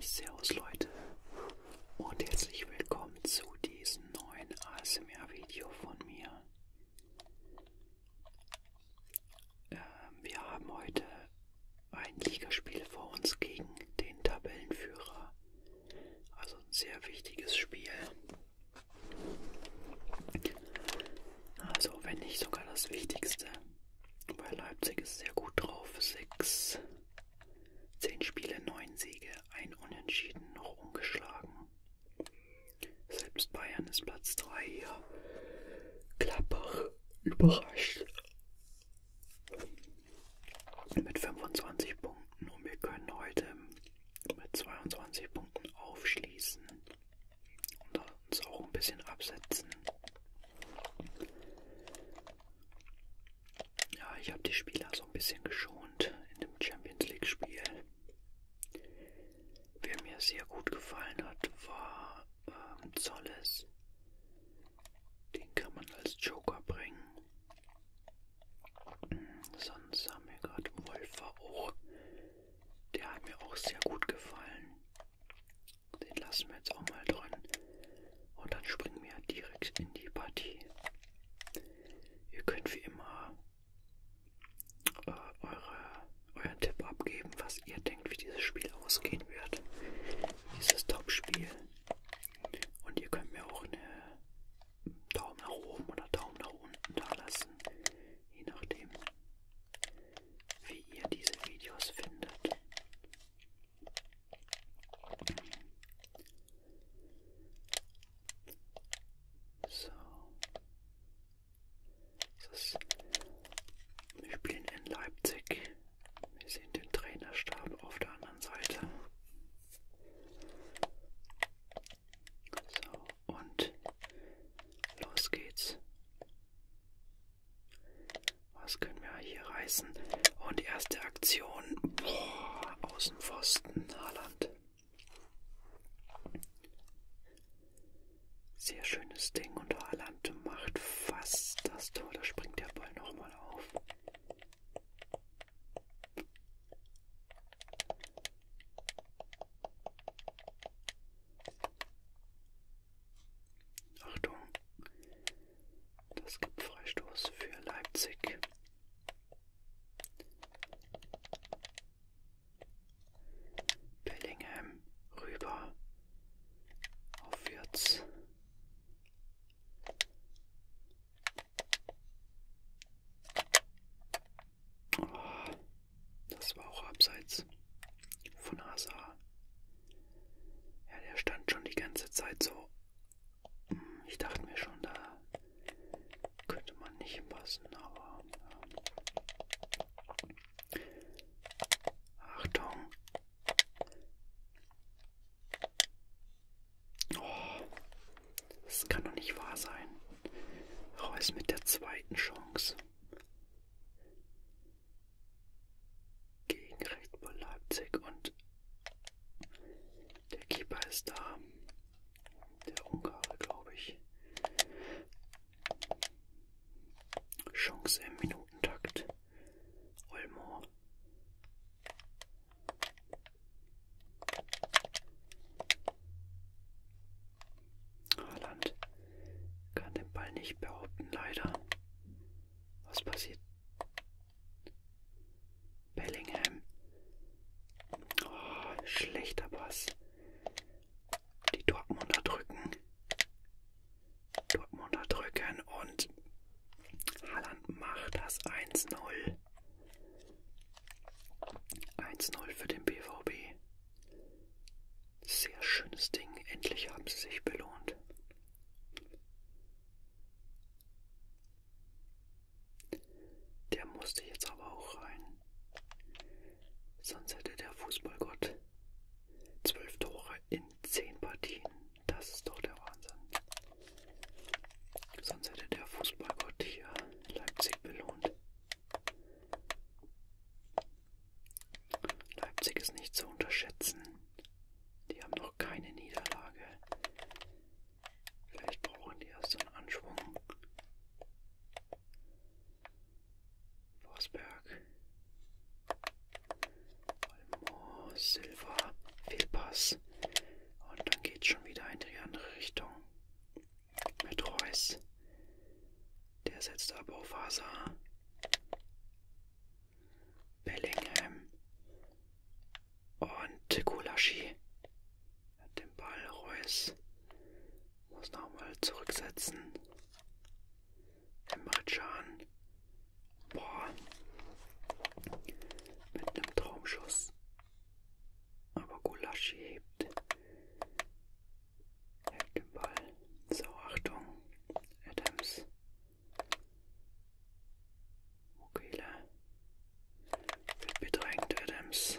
Servus Leute und herzlich willkommen zu diesem neuen ASMR-Video von mir. Ähm, wir haben heute ein Ligaspiel vor uns gegen den Tabellenführer. Also ein sehr wichtiges Spiel. Also wenn nicht sogar das Wichtigste. Bei Leipzig ist sehr gut drauf. 6, 10 Spiele, 9 Siege, ein Unentschieden, noch ungeschlagen. Selbst Bayern ist Platz 3 hier. Klappach überrascht. Mit 25 Punkten und wir können heute mit 22 Punkten aufschließen und uns auch ein bisschen absetzen. Ja, ich habe die Spieler so ein bisschen geschont in dem Champions League Spiel. Wer mir sehr gut gefallen hat, war ähm, Zolles. Den kann man als Joker bringen. Sonst haben wir gerade Wolfer auch. Der hat mir auch sehr gut gefallen. Den lassen wir jetzt auch mal drin. Und dann springen wir direkt in die Partie. Ihr könnt wie immer äh, eure, euren Tipp abgeben, was ihr denkt, wie dieses Spiel ausgehen wird. Dieses Top-Spiel. Und ihr könnt mir auch eine Daumen nach oben oder Daumen nach unten da lassen. Je nachdem, wie ihr diese Videos findet. So. Ist, wir spielen in Leipzig. Wir sehen den Trainerstab auf der anderen Seite. So, und los geht's. Was können wir hier reißen? Und erste Aktion. Boah, Außenpfosten, Haaland. Sehr schönes Ding und Haaland macht fast das Tor. Da springt der Ball nochmal auf. Achtung, das gibt Freistoß für Leipzig. Bellingham rüber auf Wirtz. Oh, ah. Das war auch abseits von Hazard. Ja, der stand schon die ganze Zeit so. Hm, ich dachte mir schon, da könnte man nicht passen, aber. Ja. Achtung! Oh, das kann doch nicht wahr sein. Raus mit der zweiten Chance gegen Red Bull Leipzig und der Keeper ist da, der Ungare, glaube ich. Chance im Minutentakt. Olmo. Haaland kann den Ball nicht behaupten, leider. Was passiert? Bellingham. Oh, schlechter Pass. Die Dortmunder drücken. Dortmunder drücken und Haaland macht das 1-0. 1-0 für den BVB. Sehr schönes Ding, endlich haben sie sich belohnt. Der musste jetzt aber auch rein. Sonst hätte der Fußballgott zwölf Tore in zehn Partien. Das ist doch der Wahnsinn. Sonst hätte der Fußballgott hier Leipzig belohnt. Leipzig ist nicht zu unterschätzen. Die haben noch keine Niederlage. Vielleicht brauchen die erst so einen Anschwung. Forsberg. Almo, Silva, Fehlpass. Und dann geht schon wieder in die andere Richtung mit Reus. Der setzt ab auf Hazard. Bellingham und Gulaschi. Hat den Ball Reus. Muss nochmal zurücksetzen. Emre Can. Boah. Mit einem Traumschuss. Aber Gulaschi hebt Hält den Ball. So, Achtung. Adams. Mukele. Wird bedrängt, Adams.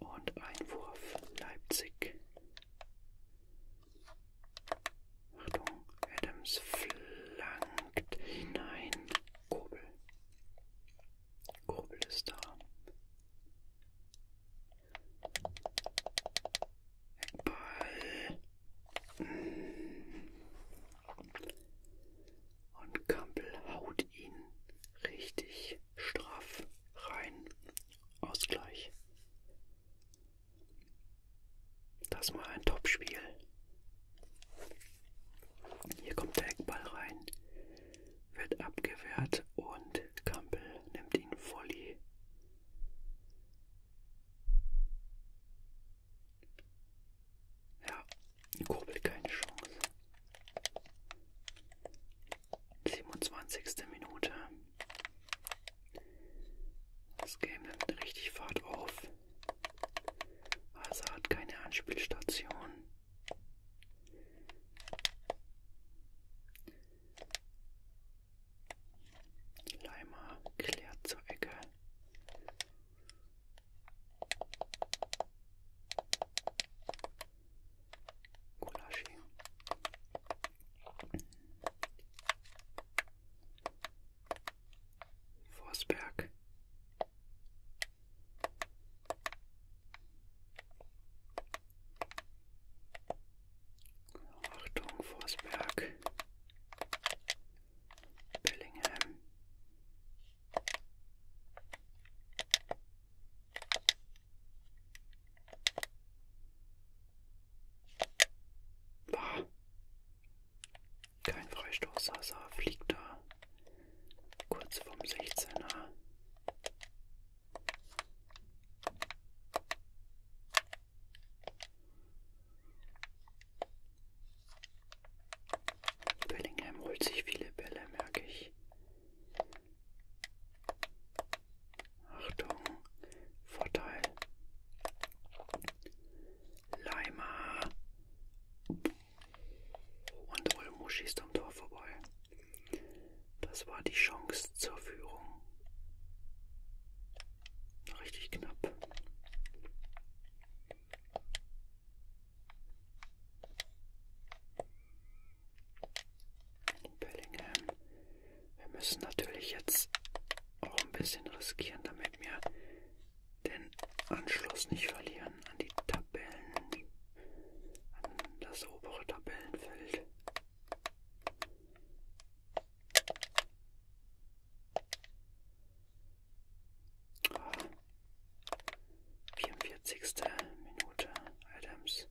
Und Einwurf, Leipzig. Achtung, Adams flankt hinein. Kobel. Kobel ist da. Ball und Campbell haut ihn richtig straff rein. Ausgleich. Das mal ein Topspiel. Hier kommt der Eckball rein wird abgewehrt und Campbell nimmt ihn Volley. Ja, Kurbel keine Chance. 27. Minute. Das Game nimmt richtig Fahrt auf. Also Hazard keine Anspielstation. Leimer klärt zur Ecke. Gulaschi. Forsberg. Achtung, Forsberg. Bellingham. Ah. Kein Freistoß, Sasa also fliegt da kurz vom 16er. Bellingham holt sich viele Bälle, merke ich. Achtung, Vorteil. Leimer. Und Olmo schießt am Tor vorbei. Das war die Chance zur Führung. Richtig knapp. Bellingham. Wir müssen natürlich jetzt auch ein bisschen riskieren, damit wir den Anschluss nicht verlieren an die Tabellen das obere Tabellenfeld. Ah, 44. Minute Adams.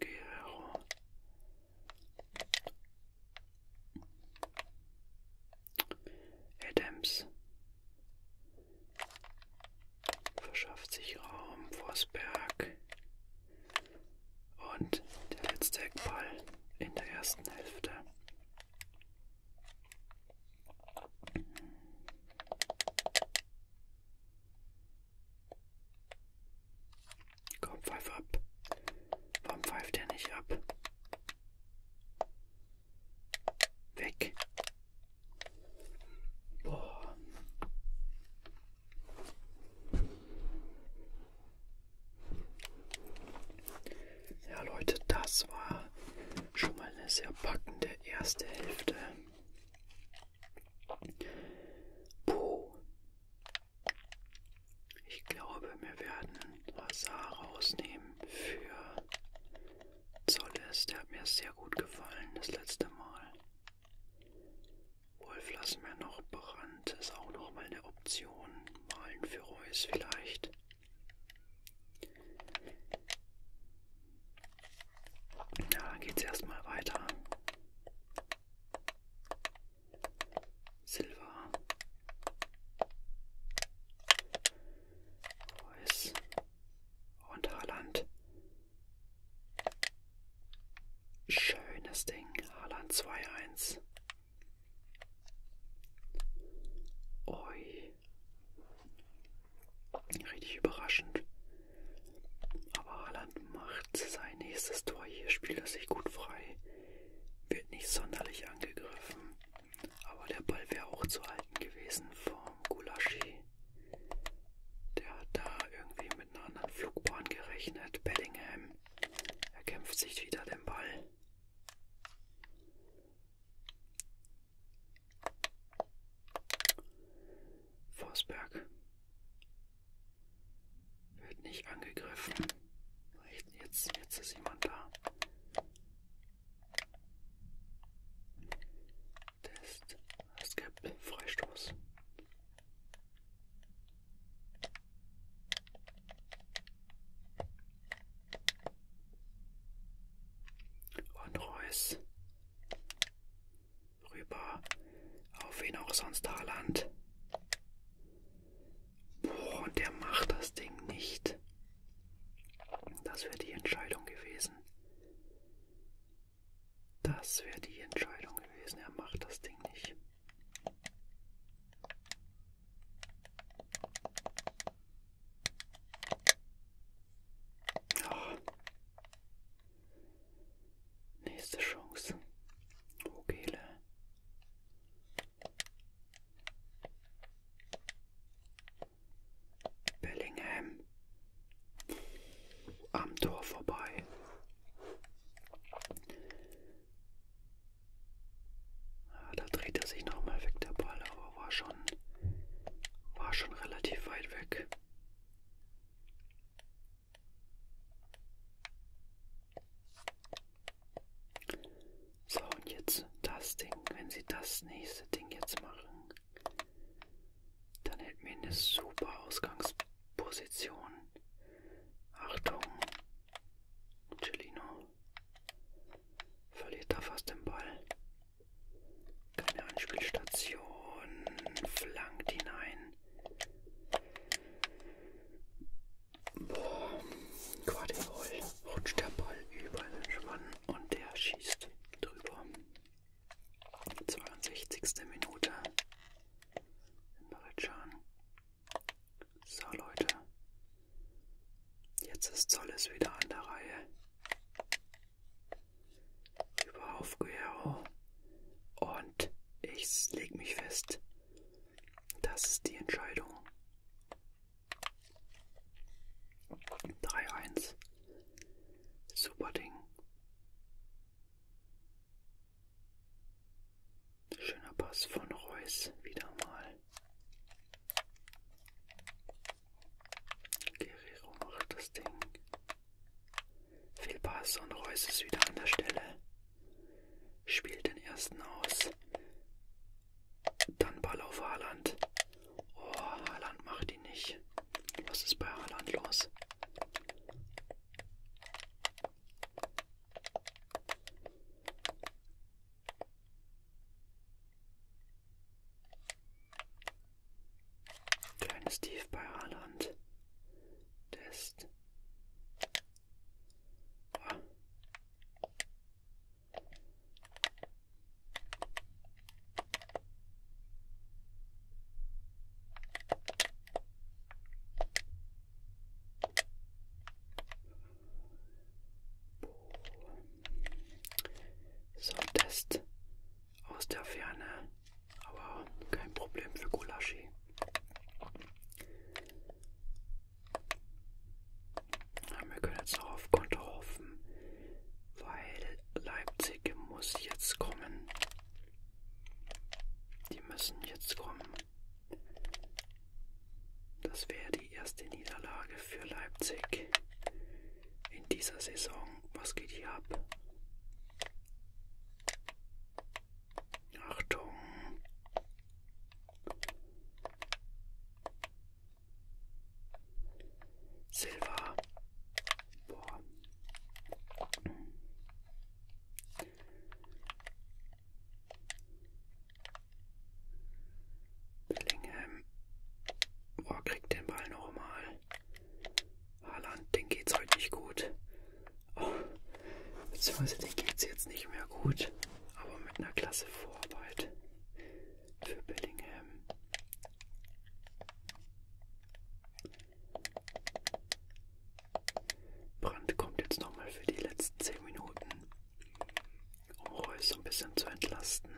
Guerrero. Adams verschafft sich Raum, Forsberg und der letzte Eckball in der ersten Hälfte. Komm, pfeif ab. Warum pfeift er nicht ab? Weg. Boah. Ja, Leute, das war schon mal eine sehr packende erste Hälfte. Puh. Ich glaube, wir werden Lazar rausnehmen für Zolles. Der hat mir sehr gut gefallen das letzte Mal. Wolf lassen wir noch. Brand ist auch nochmal eine Option. Malen für Reus vielleicht. Na, ja, dann geht's erstmal weiter. Silber, Reus und Haaland. Schönes Ding, Haaland 2-1. Oi. Richtig überraschend. Aber Haaland macht sein nächstes Tor. Hier spielt er sich gut frei. Wird nicht sonderlich angegriffen. Aber der Ball wäre auch zu halten gewesen vom Gulaschi. Der hat da irgendwie mit einer anderen Flugbahn gerechnet. Bellingham. Er kämpft sich wieder den Ball. Forsberg wird nicht angegriffen. Jetzt, jetzt ist jemand da. Test. Es gibt Freistoß. Und Reus. Rüber. Auf wen auch sonst Haaland. Boah, und der macht das Ding nicht. Das wäre die Entscheidung gewesen. Das wäre die Entscheidung gewesen. Er macht das Ding nicht. Oh. Nächste Chance. Vogele. Bellingham am Tor vorbei. Ja, ah, da dreht er sich nochmal weg der Ball, aber war schon, war schon relativ weit weg. So, und jetzt das Ding. Wenn sie das nächste Ding jetzt machen, dann hätten wir eine super Ausgangsposition. Achtung, Celino verliert da fast den Ball. Keine Anspielstation, flankt hinein. Boah, Quadriball rutscht der Ball über den Schwann und der schießt drüber. 62. Minute in Baritschan. So Leute, jetzt ist Zolles wieder an der Reihe. Über auf Guerrero und ich leg mich fest, das ist die Entscheidung. 3-1. Super Ding. Schöner Pass von Reus wieder mal. Guerrero macht das Ding. Fehlpass und Reus ist wieder an der Stelle. Spielt den ersten aus. Dann Ball auf Haaland. Oh, Haaland macht ihn nicht. Was ist bei Haaland los? Kleines Tief bei Haaland. Test. Oh, so, Test aus der Ferne, aber kein Problem für Gulaschi. Wir können jetzt noch auf Konter hoffen, weil Leipzig muss jetzt kommen. Die müssen jetzt kommen. Das wäre die erste Niederlage für Leipzig in dieser Saison. Was geht hier ab? Achtung! Silber. Boah. Bellingham. Boah, kriegt den Ball nochmal. Haaland, den geht's heute nicht gut. Oh, beziehungsweise den geht's jetzt nicht mehr gut aber mit einer klasse Vorarbeit für Bellingham. Brandt kommt jetzt nochmal für die letzten 10 Minuten, um Reus so ein bisschen zu entlasten.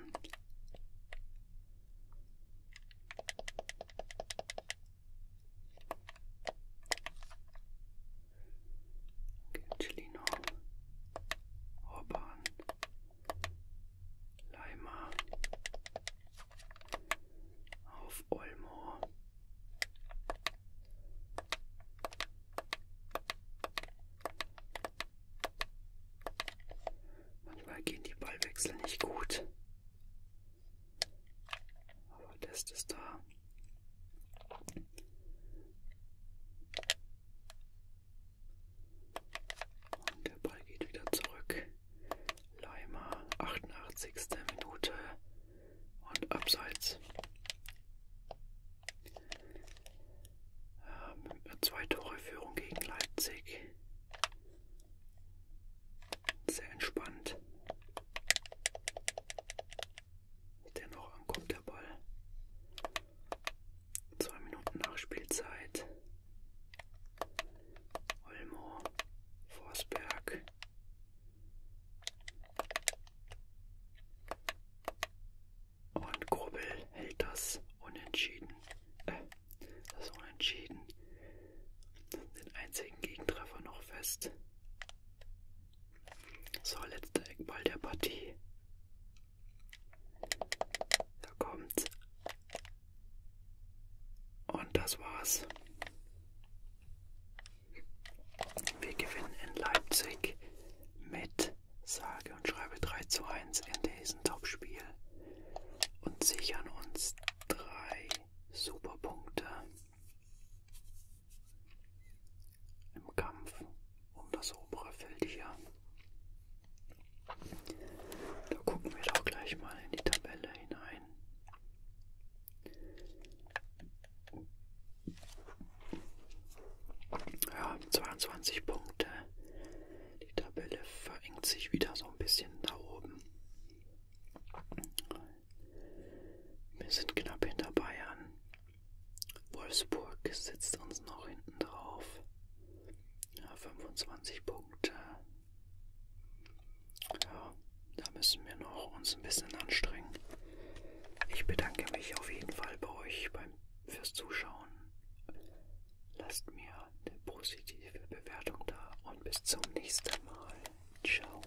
Gentilino, Orban, Leimer, auf Olmo. Manchmal gehen die Ballwechsel nicht gut. Aber Test ist da. Und der Ball geht wieder zurück. Leimer, 88. Minute und abseits. Ähm, zwei Tore Führung gegen Leipzig. Sehr entspannt. Dennoch ankommt der Ball. Zwei Minuten Nachspielzeit. Olmo, Forsberg. Und Grobel hält das unentschieden. Äh, das unentschieden. Den einzigen Gegentreffer noch fest. So, letzter Eckball der Partie. Da kommt's. Und das war's. Wir gewinnen in Leipzig mit sage und schreibe 3 zu 1 in diesem Topspiel und sichern uns drei Superpunkte im Kampf um das obere Feld hier. Da gucken wir doch gleich mal in die Tabelle hinein. Ja, 22 Punkte. Die Tabelle verengt sich wieder so ein bisschen da oben. Wir sind knapp hinter Bayern. Wolfsburg sitzt uns noch hinten drauf. Ja, 25 Punkte. Ja, da müssen wir noch uns ein bisschen anstrengen. Ich bedanke mich auf jeden Fall bei euch beim, fürs Zuschauen. Lasst mir eine positive Bewertung da und bis zum nächsten Mal. Ciao.